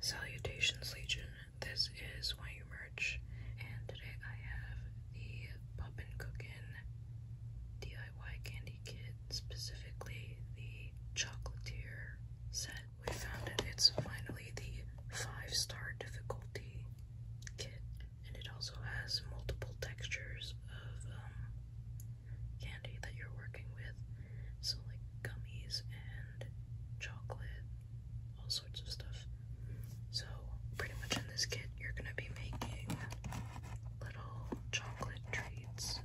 Salutations Legion, this is Why You Merge, and today I have the Poppin' Cookin' DIY Candy Kit, specifically the Chocolatier set. We found it, it's finally the 5-star difficulty kit, and it also has multiple textures of um, candy that you're working with. So, like gummies and chocolate, all sorts of stuff. So, pretty much in this kit, you're gonna be making little chocolate treats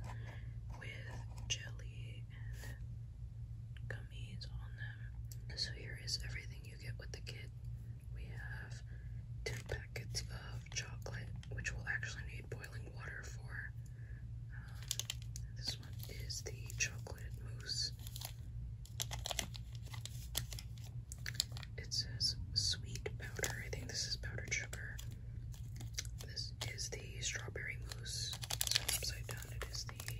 with jelly and gummies on them. So, here is everything you get with the kit. We have two packets of chocolate, which we'll actually need boiling water for. Uh, this one is the chocolate mousse. It says sweet powder. I think this is powdered sugar. This is the strawberry mousse. So upside down it is the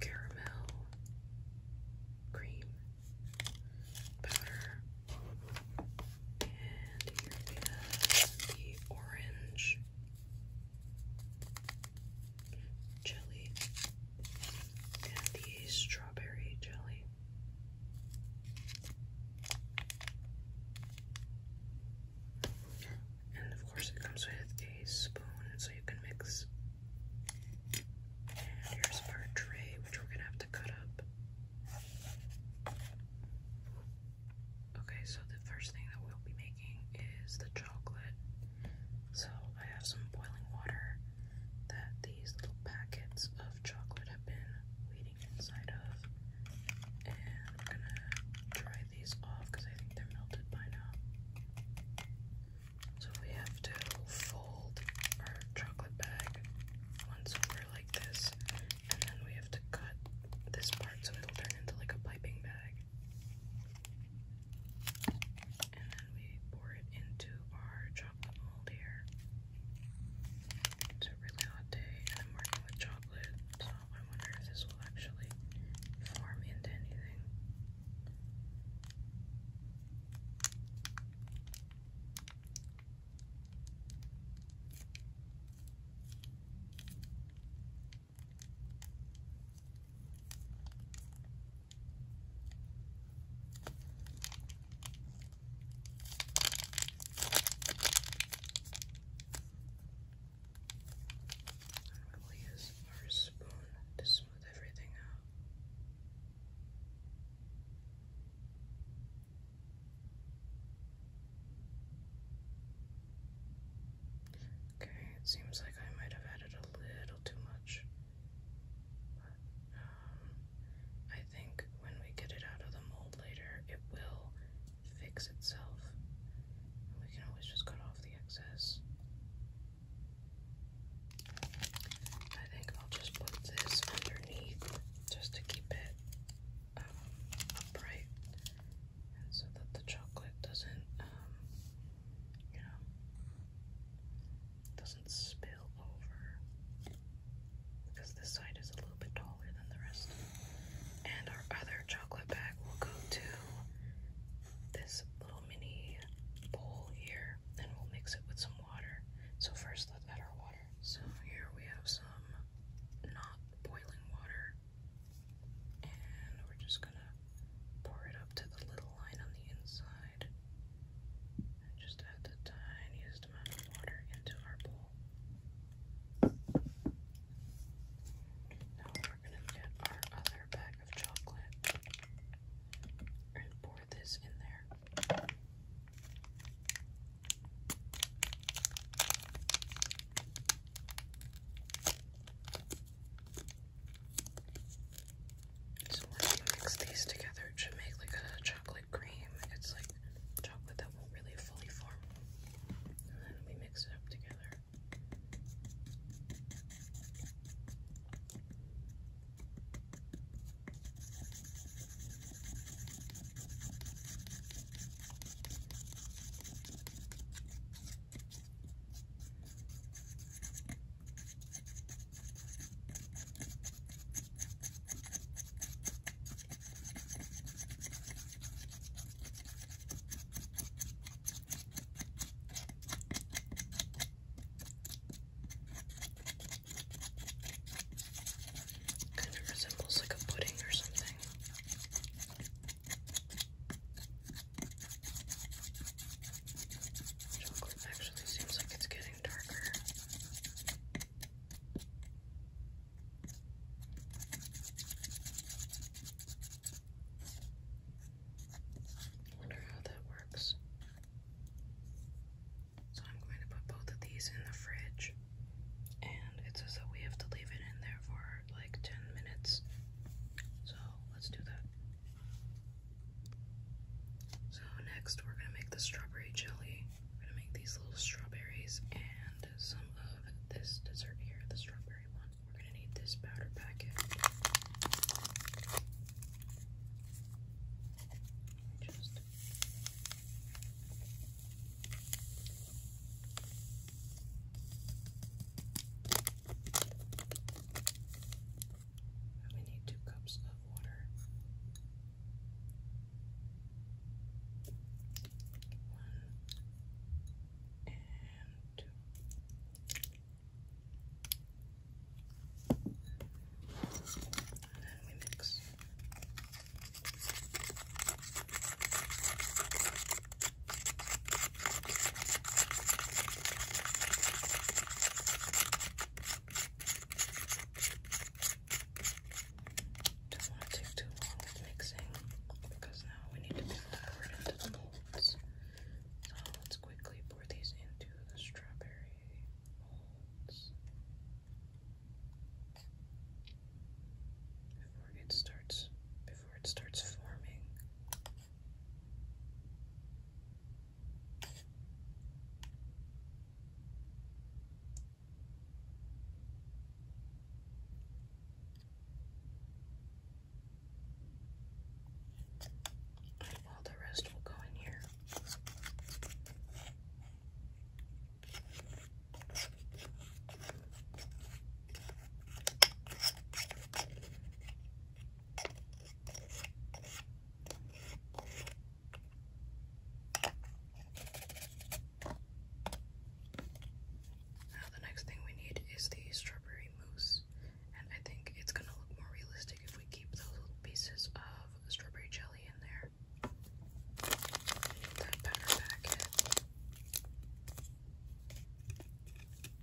caramel cream powder. And here we have the orange jelly and the strawberry jelly. And of course, it comes with a spoon so you can mix. here's our tray, which we're gonna have to cut up. Okay, so the first thing that we'll be making is the chocolate. So I have some boiling water that these little packets of chocolate have been waiting inside of. And I'm gonna dry these off because I think they're melted by now. So we have to fold our chocolate bag once over like this, and then we have to cut this part so it'll turn into like a piping bag. And then we pour it into our chocolate mold here. It's a really hot day and I'm working with chocolate, so I wonder if this will actually form into anything. I'm going to use our spoon to smooth everything out. Okay, it seems like I might have added a little too much. But, um, I think when we get it out of the mold later, it will fix itself. we can always just cut off the excess. I think I'll just put this underneath just to keep it upright um, and so that the chocolate doesn't, um, you know, doesn't spill over because this side is a little bit taller than the rest. And our other chocolate bag will go to this little mini bowl here, and we'll mix it with some water. So first, let's add our water. So here we have some not boiling water. And we're just gonna pour it up to the little line on the inside. just add the tiniest amount of water into our bowl. Now we're gonna get our other bag of chocolate and pour this in there. So when you mix these together, it should make like a chocolate cream. It's like chocolate that won't really fully form. And then we mix it up together. Kind of resembles like a pudding or something. Chocolate actually seems like it's getting darker. Wonder how that works. So I'm going to put both of these in the fridge, and it says that we have to leave it in there for like 10 minutes. So let's do that. So next we're gonna make the strawberry jelly. We're gonna make these little strawberries and some of this dessert here, the strawberry one. We're gonna need this powder packet. Just we need two cups of water. One and two. And then we mix. Don't want to take too long mixing because now we need to pour it into the molds. So let's quickly pour these into the strawberry molds. Before it starts before it starts forming. All the rest will go in here. Now the next thing we need is the strawberry mousse, and I think it's gonna look more realistic if we keep those little pieces of strawberry jelly in there. That batter packet.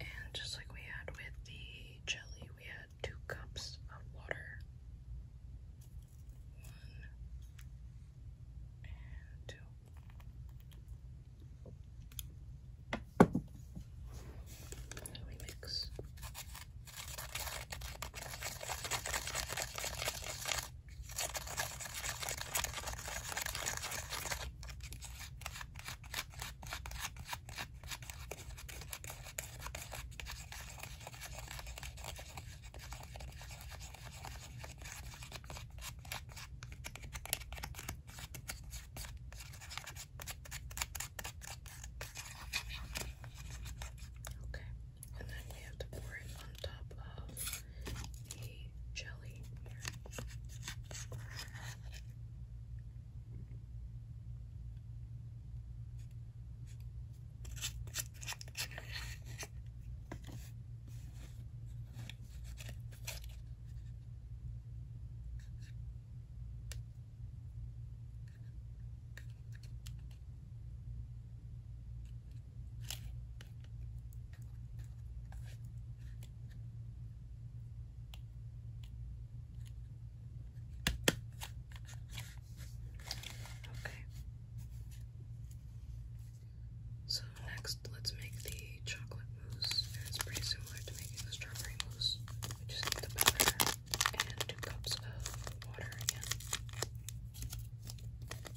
And just like we had with the jelly, we had two cups of water. One and two. And we mix. Okay, and then we have to pour it on top of a jelly here. Okay. So next, let's make the chocolate mousse, and it's pretty similar to making the strawberry mousse. We just need the powder and two cups of water again.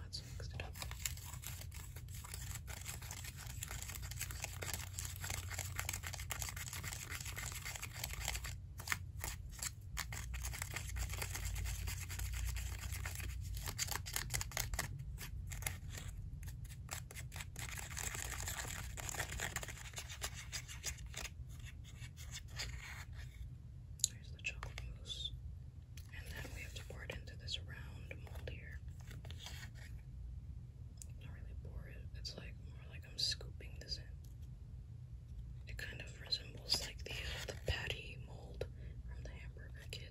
Let's mix it up. There's the chocolate mousse. And then we have to pour it into this round mold here. Not really pour it, it's like more like I'm scooping this in. It kind of resembles like the, uh, the patty mold from the hamburger kit.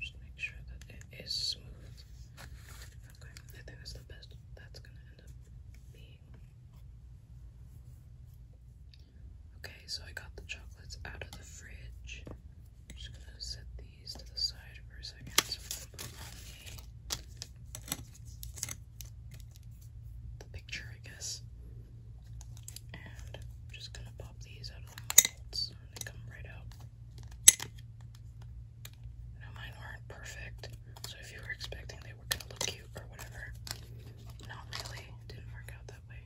Just make sure that it is smooth. Okay, I think that's the best that's gonna end up being. Okay, so I got the chocolates out of the fridge. just gonna set these to the side for a second the, picture, I guess. And just gonna pop these out they come right out. Now mine aren't perfect, so if you were expecting they were gonna look cute or whatever, not really. didn't work out that way.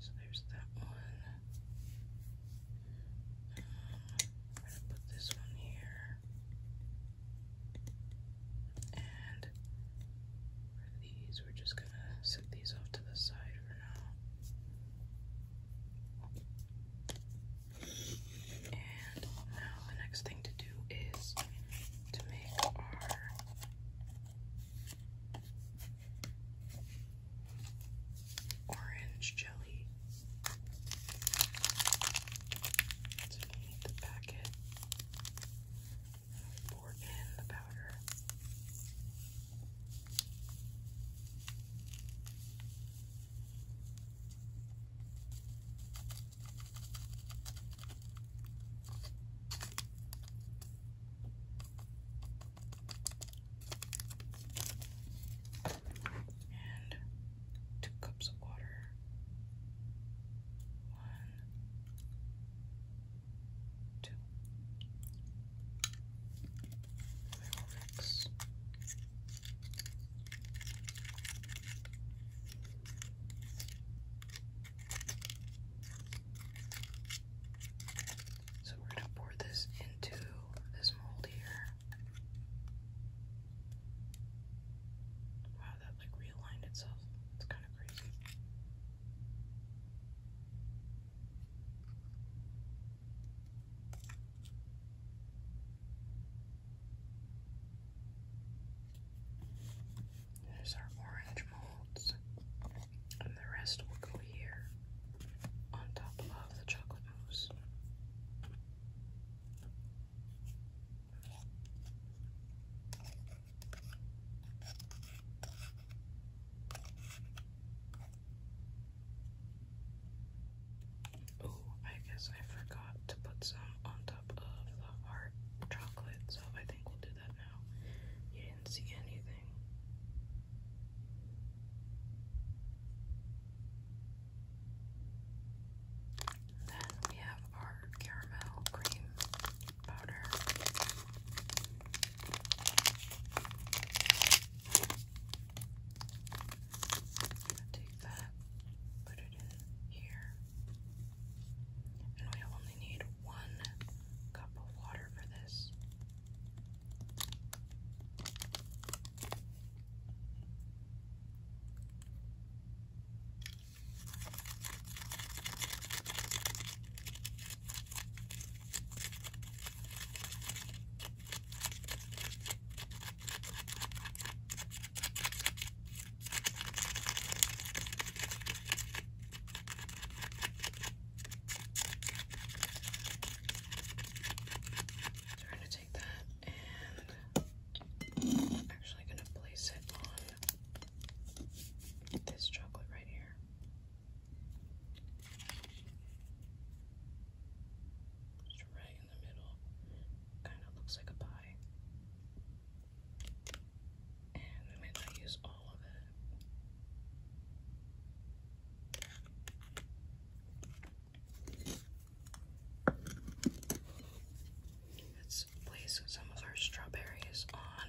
So there's that one. Um, I'm gonna put this one here. And we're just gonna set these off to the side for now. And now the next thing to do is to make our orange jelly. So you need the packet. Pour in the powder. And two cups of water. One, two. Fireworks. So we're going to pour this into this mold here. Wow, that like realigned itself. It's kind of crazy. There's our orange molds, and the rest will go here on top of the chocolate mousse. Oh, I guess I forgot to put some on top of the heart chocolate, so I think we'll do that now. You didn't see anything. then we have our caramel cream powder. Take that, put it in here. And we only need one cup of water for this. I'm to take that and actually going to place it on this chocolate right here. It's right in the middle. Kind of looks like a pie. And I might not use all of it. Let's place some of our strawberries on.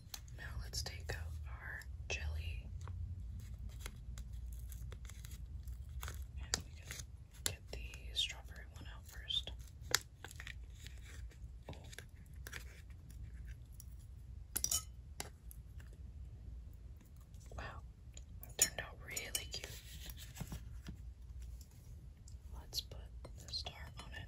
Now let's take out our jelly. And get the strawberry one out first. Wow, it turned out really cute. Let's put the star on it.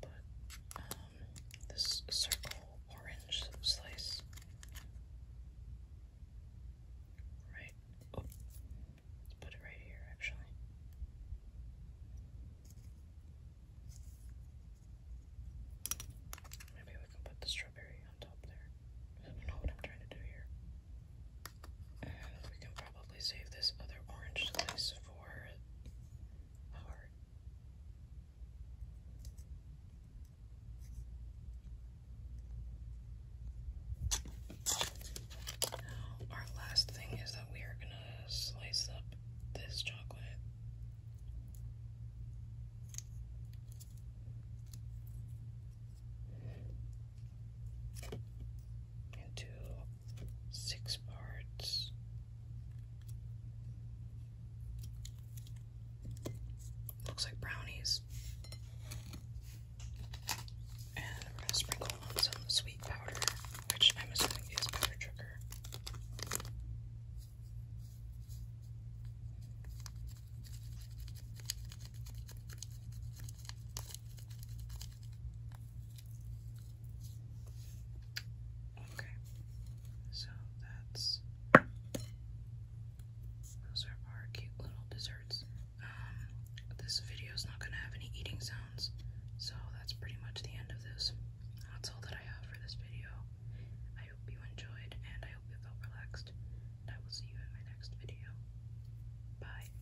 put um, this circle orange slice right. Oh, let's put it right here actually. Maybe we can put the strawberry on top there. I don't know what I'm trying to do here. And we can probably save this other orange slice for our our last thing is that we are going to slice up this chocolate. Into six parts. Looks like brownies. And we're going to sprinkle on some sweet powder, which I'm assuming is powder sugar. Okay, so that's those are our cute little desserts. Um, this video is not going to have any eating sounds, so that's pretty much the end of this. That's all that I have for this video. I hope you enjoyed, and I hope you felt relaxed. And I will see you in my next video. Bye.